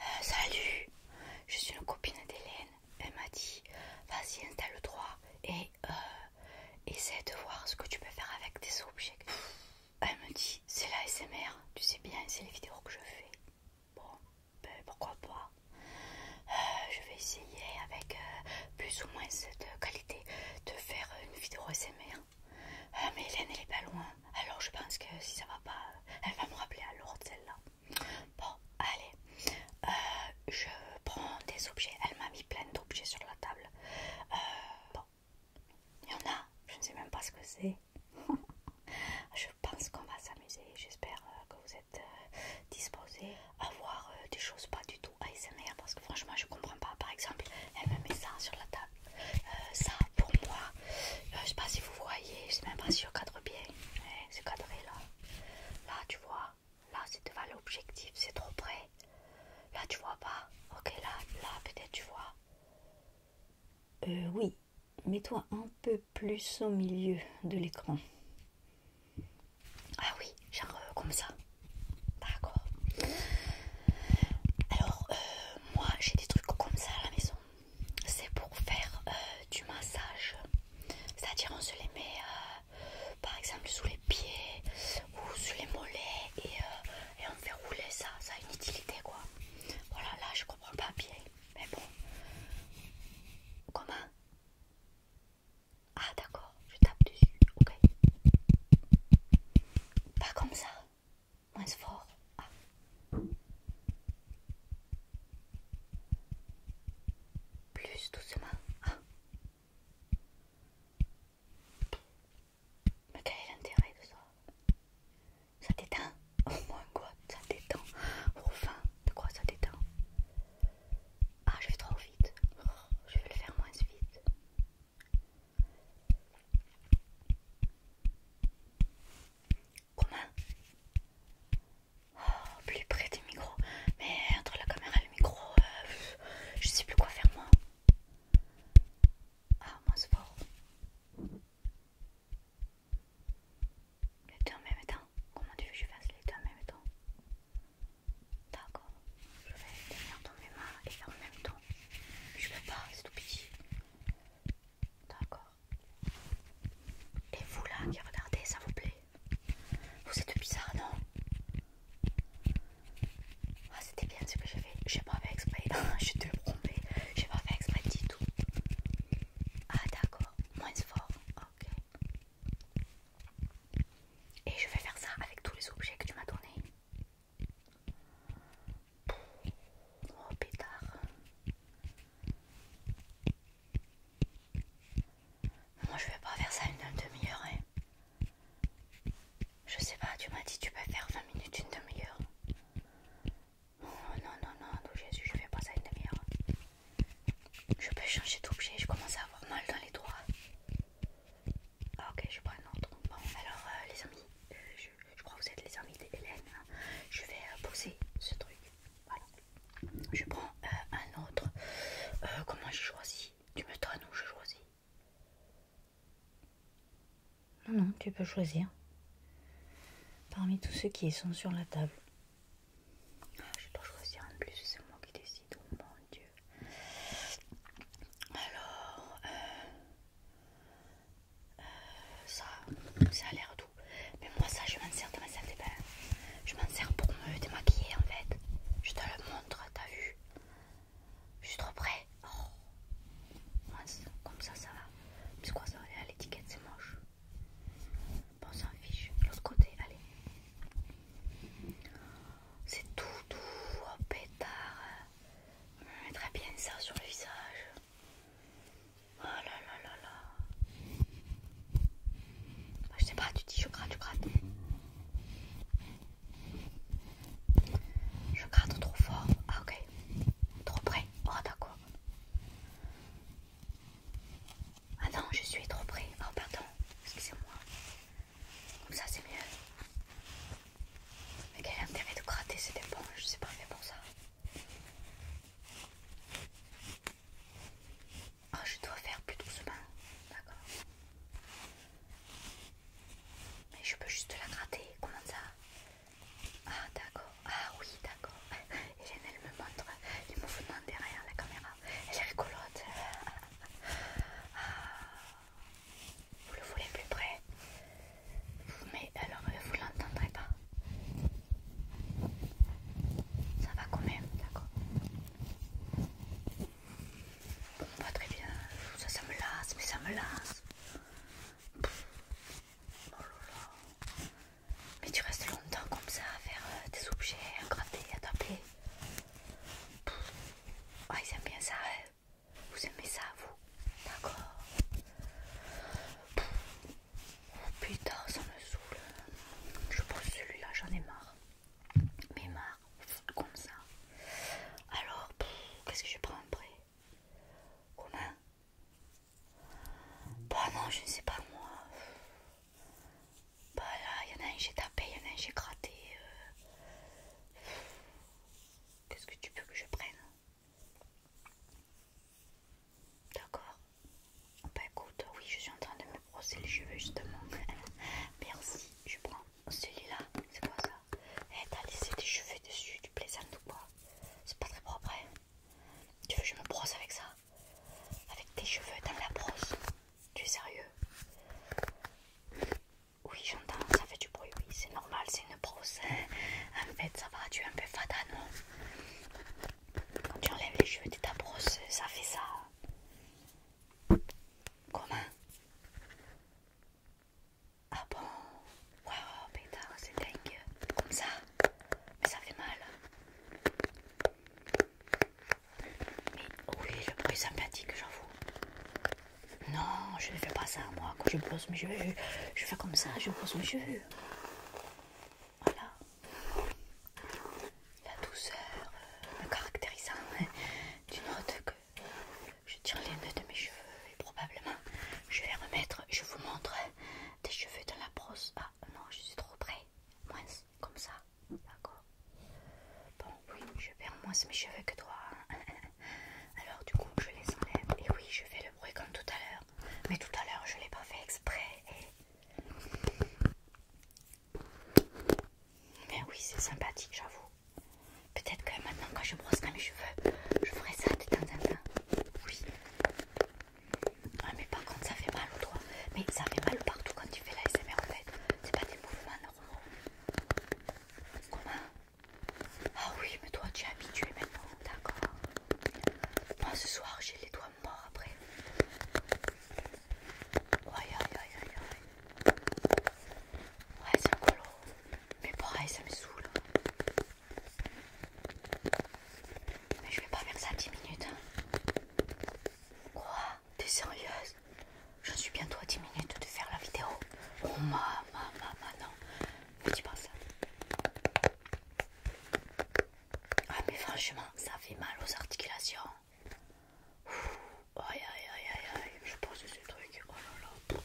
Euh, salut, je suis une copine d'Hélène. Elle m'a dit vas-y installe droit et euh, essaie de voir ce que tu peux faire avec tes objets. Elle me dit c'est la SMR, tu sais bien, c'est les vidéos que je fais. Bon, ben, pourquoi pas. Euh, je vais essayer avec plus ou moins cette qualité de faire une vidéo SMR. Euh, mais Hélène, elle est pas loin. Alors je pense que si ça va pas, elle va me rappeler à de celle-là. Bon, allez. Euh, je prends des objets. Elle m'a mis plein d'objets sur la table. Euh, bon, il y en a. Je ne sais même pas ce que c'est. je pense qu'on va s'amuser. J'espère que vous êtes disposés à voir euh, des choses pas du tout ASMR parce que franchement je comprends pas. Par exemple, elle me met ça sur la table. Euh, ça pour moi, euh, je sais pas si vous voyez, je sais même pas si je cadre bien. c'est cadré là. Là tu vois, là c'est devant l'objectif, c'est trop près. Là tu vois pas. Ok là, là peut-être tu vois. oui, mets-toi un peu plus au milieu de l'écran. Ah oui, genre euh, comme ça. D'accord. Alors, euh, moi j'ai des trucs comme ça à la maison. C'est pour faire euh, du massage. C'est-à-dire, on se les met par exemple sous les pieds ou sous les mollets et, on fait rouler ça. Ça a une utilité quoi. Voilà, là je comprends pas bien. Mais bon. Comment ah d'accord, je tape dessus, ok. Pas comme ça, moins fort. Ah. Plus doucement. Ah. Mais quel est l'intérêt de ça Ça détend Au moins quoi Ça t'étend. enfin, de quoi ça t'étend ah, je vais trop vite. Je vais le faire moins vite. Comment oh, Plus près du micro. Mais entre la caméra et le micro, euh, je sais plus quoi faire moi. Ah, moins fort. Les deux en même temps. Comment tu veux que je fasse les deux en même temps D'accord, je vais tenir dans mes mains et faire en même temps. Je peux pas, c'est tout petit. D'accord. Et vous là qui regardez, ça vous plaît Vous êtes bizarre, non Ah, c'était bien ce que j'ai je n'ai pas fait exprès. Ah, je te je n'ai pas fait exprès du tout. Ah, d'accord, moins fort. Ok. Et je vais faire ça avec tous les objets que tu m'as donnés. Oh pétard. Moi je vais pas faire ça une demi-heure. Hein. Je sais pas, tu m'as dit tu peux faire 20 minutes, une demi-heure. Oh non, non, non, non, Jésus, je fais pas ça une demi-heure. Je peux changer d'objet, je commence à avoir mal dans les doigts. Ah, ok, je prends un autre. Bon, alors euh, les amis, euh, je, crois que vous êtes les amis d'Hélène. Hein. Je vais euh, poser ce truc. Voilà. Je prends un autre. comment j'ai choisi Tu me donnes ou je choisis Non, non, tu peux choisir. Parmi tous ceux qui sont sur la table. Ah, je dois choisir en plus, c'est moi qui décide, oh mon dieu. Alors, euh, euh, ça, ça a l'air doux. Mais moi ça, je m'en sers de ma Je m'en sers pour me démaquiller en fait. Je te le montre, t'as vu Je suis trop près. Oh. Comme ça, ça va. c'est quoi ça L'étiquette, c'est moche. Bon, ça s'en fiche. L'autre côté, allez. C'est tout doux, oh, pétard. On hum, mettrait bien ça sur le visage. Oh là là là là. Je sais pas, tu dis je gratte, je gratte. Je gratte trop fort. Ah ok. Trop près. Oh d'accord. Ah non, je suis trop près. Oh, pardon, excusez-moi. Comme ça, c'est mieux. Mais quel intérêt de gratter cette éponge C'est pas fait pour ça. Oh, je dois faire plus doucement. D'accord. Mais je peux juste la gratter. Comment ça Ah, d'accord. Ah, oui, d'accord. Et elle me montre les mouvement derrière la caméra elle est rigolote. Vous le voulez plus près, mais alors euh, vous l'entendrez pas. Ça va quand même, d'accord Bon, pas très bien. Ça, ça me lasse, mais ça me lasse. Oh mais tu restes longtemps comme ça à faire des euh, objets, à gratter, à taper. Ah, ils aiment bien ça, hein. vous aimez ça, vous D'accord oh, Putain, ça me saoule. Je prends celui-là, j'en ai marre. Mais marre, comme ça. Alors, qu'est-ce que je prends après Comment Bah non, je ne sais pas moi. Bah là, il y en a un j'ai tapé, il y en a un j'ai gratté. Euh. Qu'est-ce que tu veux que je prenne D'accord. Bah écoute, oui, je suis en train de me brosser les cheveux justement. Merci, je prends celui-là. C'est quoi ça Eh, t'as laissé tes cheveux dessus, tu plaisantes ou quoi C'est pas très propre, hein Tu veux que je me brosse avec ça avec tes cheveux dans la brosse. Tu es sérieux Oui, j'entends, ça fait du bruit, oui, c'est normal, c'est une brosse. Hein. En fait, ça va, tu es un peu fatal, non hein. Quand tu enlèves les cheveux de ta brosse, ça fait ça. Comment Ah bon Waouh, pétard, c'est dingue. Comme ça Mais ça fait mal. Mais oui, le bruit sympathique, j'avoue. Non, je ne fais pas ça, moi. Quand je brosse mes cheveux, je, fais comme ça, je brosse mes cheveux. Voilà. La douceur euh, me caractérisant hein, Tu notes que je tire les nœuds de mes cheveux et probablement je vais remettre, je vous montre des cheveux dans la brosse. Ah non, je suis trop près moins comme ça, d'accord Bon, oui, je perds moins mes cheveux que toi. Hein. Alors, du coup, je les enlève. Et oui, je fais le bruit comme tout à l'heure. Mais tout à l'heure, je l'ai pas fait exprès. Eh. Mais oui, c'est sympathique, j'avoue. Peut-être que maintenant, quand je brosse mes cheveux, je ferai ça de temps en temps. Oui, ah mais par contre ça fait mal au doigt. Mais ça fait mal partout quand tu fais la SMR en fait. C'est pas des mouvements normaux. Comment Ah oui mais toi tu es habitué maintenant, d'accord. Moi ce soir j'ai les doigts morts après. Aïe aïe aïe aïe aïe. Ouais c'est un colo. Mais pareil ça me saoule. Mais je vais pas faire ça 10 minutes. Hein. Quoi es sérieuse Je suis bientôt à 10 minutes de faire la vidéo. Oh ma ma ma non. Ne dis pas ça. Ah mais franchement, ça fait mal aux articulations. aïe aïe aïe aïe aïe. Je pose ce truc. Oh là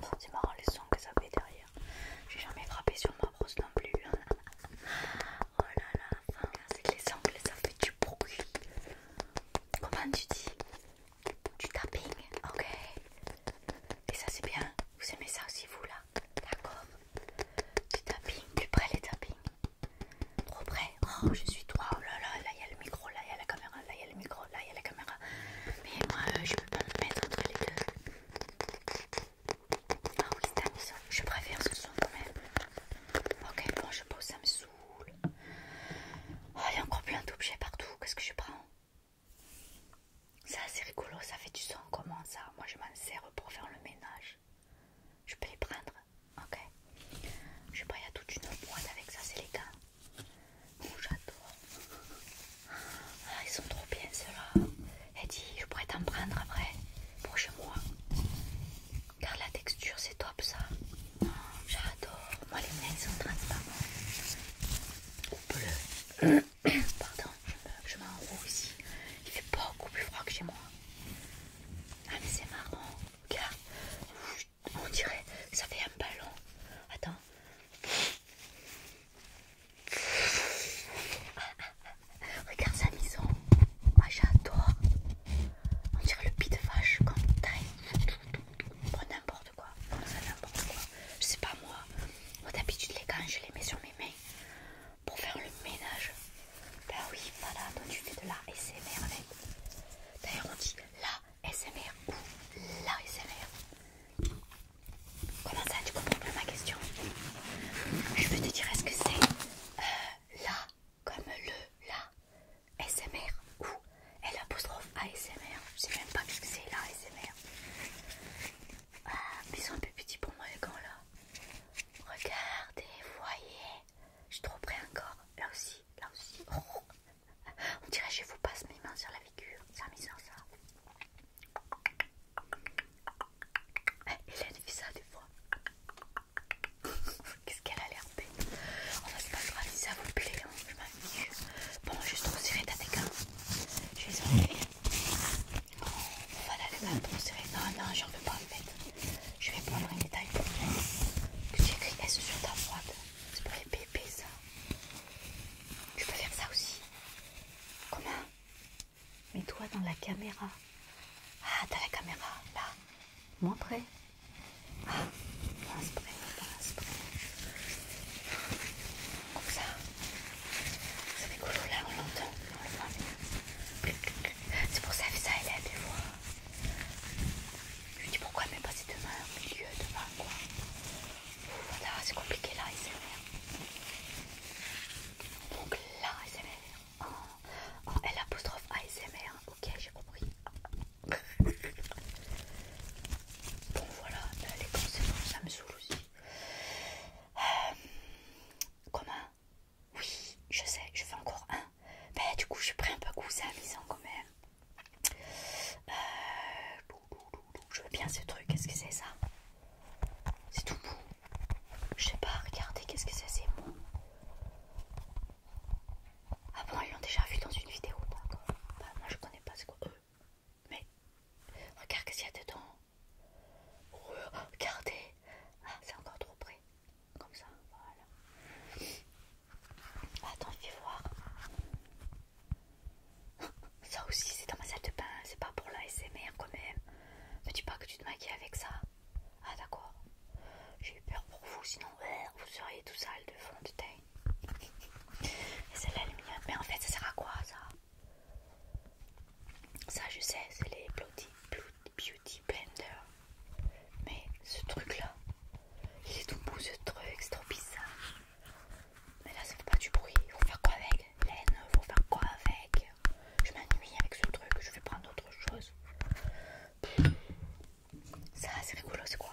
là. C'est marrant le sons que ça fait derrière. J'ai jamais frappé sur ma brosse non plus. Oh là là, c'est que les ongles ça fait du bruit. Comment tu dis Du tapping, ok. Et ça c'est bien. Vous aimez ça aussi vous là D'accord. Du tapping, plus près les tappings. Trop près. Oh je suis toi. Oh là là, là il y a le micro, là il y a la caméra, là il y a le micro, là il y a la caméra. Mais moi euh, je peux pas me mettre entre les deux. Ah oui, je préfère ce son quand même. Ok, bon, je pose, ça me saoule. Oh, il y a encore plein d'objets partout. Qu'est-ce que je prends Ça, c'est rigolo, ça fait du son. Comment ça Moi, je m'en sers pour faire le ménage. Je peux les prendre Ok. Je sais pas, il y a toute une boîte avec ça, c'est les gars. Oh, j'adore. Ah, ils sont trop bien ceux-là. Elle dit Je pourrais t'en prendre après pour chez moi. Car la texture, c'est top ça. Hum, j'adore. Moi, les miennes sont transparentes. Ou bleues. Pardon, je m'enroule ici. Il fait beaucoup plus froid que chez moi. Ah, mais c'est marrant. Regarde, on dirait que ça fait un ballon. Attends. Regarde sa maison. Ah, j'adore. On dirait le pied de vache comme taille. Bon, n'importe quoi. ça, n'importe quoi. Je sais pas moi. Moi d'habitude, les gants, je les mets sur mes mains pour faire le ménage. bah oui, voilà. Donc tu fais de la SMR D'ailleurs, on dit la SMR ou la SMR. Comment ça tu comprends pas ma question Je veux te dire est-ce que c'est euh, là comme le là SMR ou L apostrophe ASMR Je sais même pas ce que c'est là ASMR ah, mais ils sont un peu petits pour moi les gants là Regardez, voyez Je suis trop près encore Là aussi, là aussi On dirait que je vous passe mes mains sur la figure me sent ça eh, elle a fait ça des fois. Qu'est-ce qu'elle a l'air bête. On va se grave si ça vous plaît. non hein, Je fiche. Bon, juste trop ta ta Je vais enlever. voilà, les est Pour trop Non, Non, non, j'en veux pas en fait. Je vais prendre un détail pour que tu écrives S sur ta boîte. C'est pour les bébés ça. Je peux faire ça aussi. Comment Mets-toi dans la caméra. Ah, t'as la caméra, là. Montrez. Ah, dans près, dans près. Comme ça. C'est rigolo, là, on l'entend. On le voit C'est pour ça que ça, elle est des fois. Je lui dis pourquoi, ne met pas si demain, au milieu, demain, quoi c'est compliqué là, ASMR. Donc là, ASMR. En, oh, elle oh, apostrophe ASMR. Ok, j'ai compris. bon, voilà, les conséquences, ça me saoule aussi. Euh, comment Oui, je sais, je fais encore un. Mais du coup, je suis pris un peu coup, c'est amusant quand même. Je veux bien ce truc, qu'est-ce que c'est ça C'est tout mou. Je sais pas, regardez, qu'est-ce que c'est, c'est mou. Ah bon, ils l'ont déjà vu dans une vidéo, d'accord. Bah, moi je connais pas ce qu'on eux. Mais regarde qu'est-ce qu'il y a dedans. regardez. Ah, c'est encore trop près. Comme ça, voilà. Attends, je vais voir. Ça aussi, c'est dans ma salle de bain, c'est pas pour la SMR quand même. Ne dis pas que tu te maquilles avec ça. Ah, d'accord. J'ai eu peur pour vous, sinon vous seriez tout sale de fond de teint. Et c'est l'aluminium. Mais en fait, ça sert à quoi ça Ça, je sais, c'est les Beauty, beauty Blender. Mais ce truc là, il est tout beau ce truc, c'est trop bizarre. Mais là ça fait pas du bruit. il Faut faire quoi avec Laine, faut faire quoi avec Je m'ennuie avec ce truc, je vais prendre autre chose. Ça c'est rigolo, c'est quoi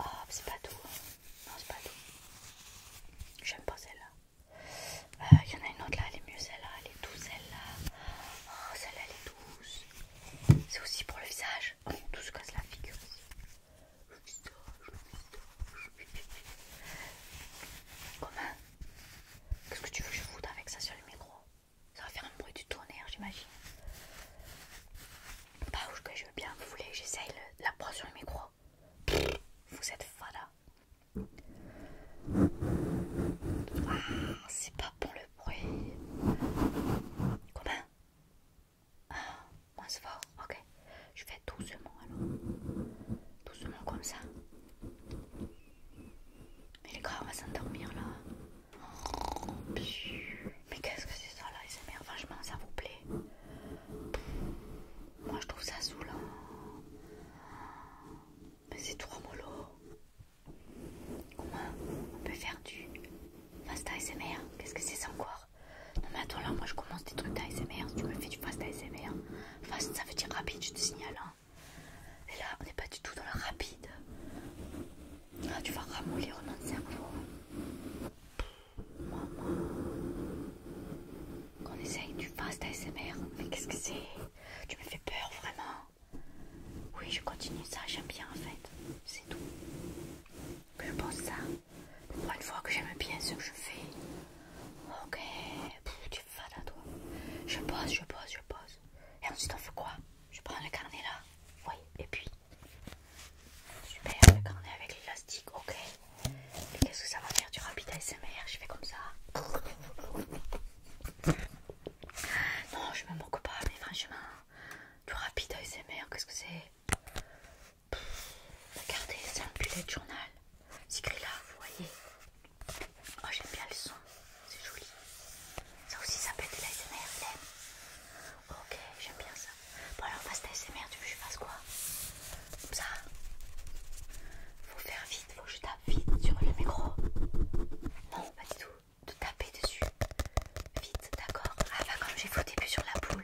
ah, c'est pas tout. Hein. Non c'est pas tout. J'aime pas celle-là. Il euh, y en a une autre là, elle est mieux celle-là, elle est douce celle-là. Oh celle-là elle est douce. C'est aussi pour le visage. On tout se la figure aussi le qu'est-ce que tu veux que je foute avec ça sur le micro Ça va faire un bruit du tonnerre, j'imagine. Bah, que je veux bien, vous voulez que j'essaye la proie sur le micro Vous êtes fada. Ah, c'est pas bon le bruit. Comment ah, moins fort, ok. Je fais doucement alors. Doucement comme ça. Mais les gars, on va s'endormir là. mais qu'est-ce que c'est ça là, les ça vous plaît Moi, je trouve ça saoulant. Mais c'est trop mollo. Comment on peut faire du fast ASMR Qu'est-ce que c'est sans quoi non mais attends là, moi je commence des trucs d'ASMR, si tu me fais du fast ASMR, fast ça veut dire rapide, je te signale. Hein. Et là on n'est pas du tout dans le rapide. Ah tu vas ramollir mon cerveau. Maman. Qu'on essaye du fast ASMR, mais qu'est-ce que c'est Tu me fais peur vraiment. Oui je continue ça, j'aime bien en fait, c'est tout. Je pense ça une fois que j'aime bien ce que je fais. Ok, tu vas là toi. Je pose, je pose, je pose. Et ensuite on fait quoi Je prends le carnet là. Oui, et puis. Super, le carnet avec l'élastique, ok. Et qu'est-ce que ça va faire du rapide ASMR Je fais comme ça. Non, je me moque pas, mais franchement, du rapide ASMR, qu'est-ce que c'est Regardez, c'est un bullet journal. C'est écrit là, vous voyez. Oh, j'aime bien le son, c'est joli. Ça aussi, ça peut être l'ASMR, Ok, j'aime bien ça. Bon, alors, face l'ASMR, tu veux que je fasse quoi Comme ça Faut faire vite, faut que je tape vite sur le micro. Non, pas du tout. De taper dessus. Vite, d'accord Ah, bah, comme j'ai foutu plus sur la poule.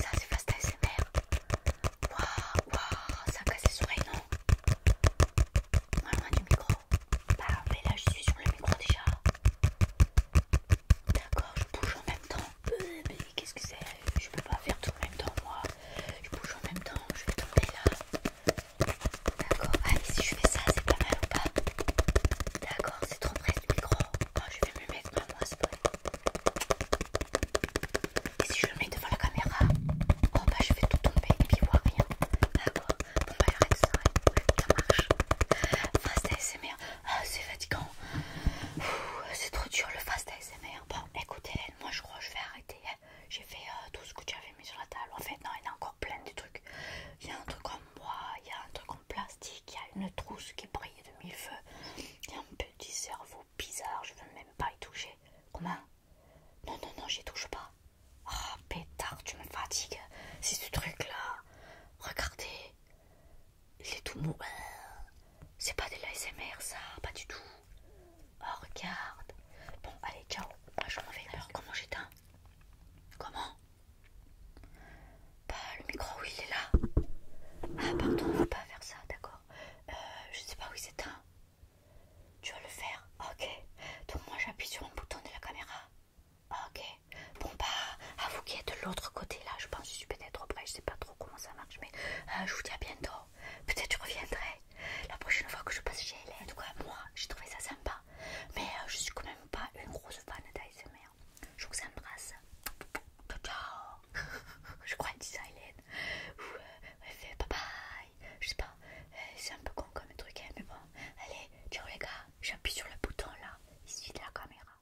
Ça c'est fast ASMR. Waouh, waouh, ça casse les oreilles, non Moins loin du micro. Bah, mais là je suis sur le micro déjà. D'accord, je bouge en même temps. Euh, mais qu'est-ce que c'est Je peux pas faire tout en même temps, moi. Je bouge en même temps, je vais tomber là. D'accord, allez si je fais ça, c'est pas mal ou pas D'accord c'est trop près du micro. Oh, je vais me mettre ma brosse Et si je le mets devant la caméra, oh bah je vais tout tomber et puis voir rien. D'accord, ah, bon va bah, j'arrête ça, hein. ça marche. Fast ASMR, ah, c'est fatigant. C'est trop dur le fast ASMR. Bon, écoutez, moi je crois que je vais arrêter. Hein. J'ai fait euh, tout ce que tu avais mis sur la table. En fait, non, il y a encore plein de trucs. Il y a un truc comme moi, il y a un truc plastique, il y a une trousse qui brille de mille feux, il y a un petit cerveau bizarre, je veux même pas y toucher. Comment Non, non, non, j'y touche pas. Ah, oh, pétard, tu me fatigues, c'est ce truc-là. Regardez, il est tout mou. C'est pas de l'ASMR, ça, pas du tout. Oh, regarde. Bon, allez, ciao. Moi, je m'en vais. Alors, comment j'éteins Comment bah, le micro, oui, il est là. Ah, pardon, ne faut pas faire ça, d'accord. Euh, je ne sais pas où il s'éteint. Tu vas le faire, ok. Donc, moi, j'appuie sur un bouton de la caméra. Ok. Bon, bah, à vous qui êtes de l'autre côté, là, je pense que je suis peut-être trop près. Je sais pas trop comment ça marche, mais euh, je vous dis à bientôt. Peut-être je reviendrai la prochaine fois que je passe chez elle En tout cas, moi, j'ai trouvé ça sympa. Mais je euh, je suis quand même pas une grosse fan d'ASMR. Je vous embrasse. Je crois qu'elle dit ça Ou elle euh, fait bye bye. Je sais pas. Euh, c'est un peu con comme truc, hein, mais bon. Allez, ciao les gars. J'appuie sur le bouton là, ici de la caméra.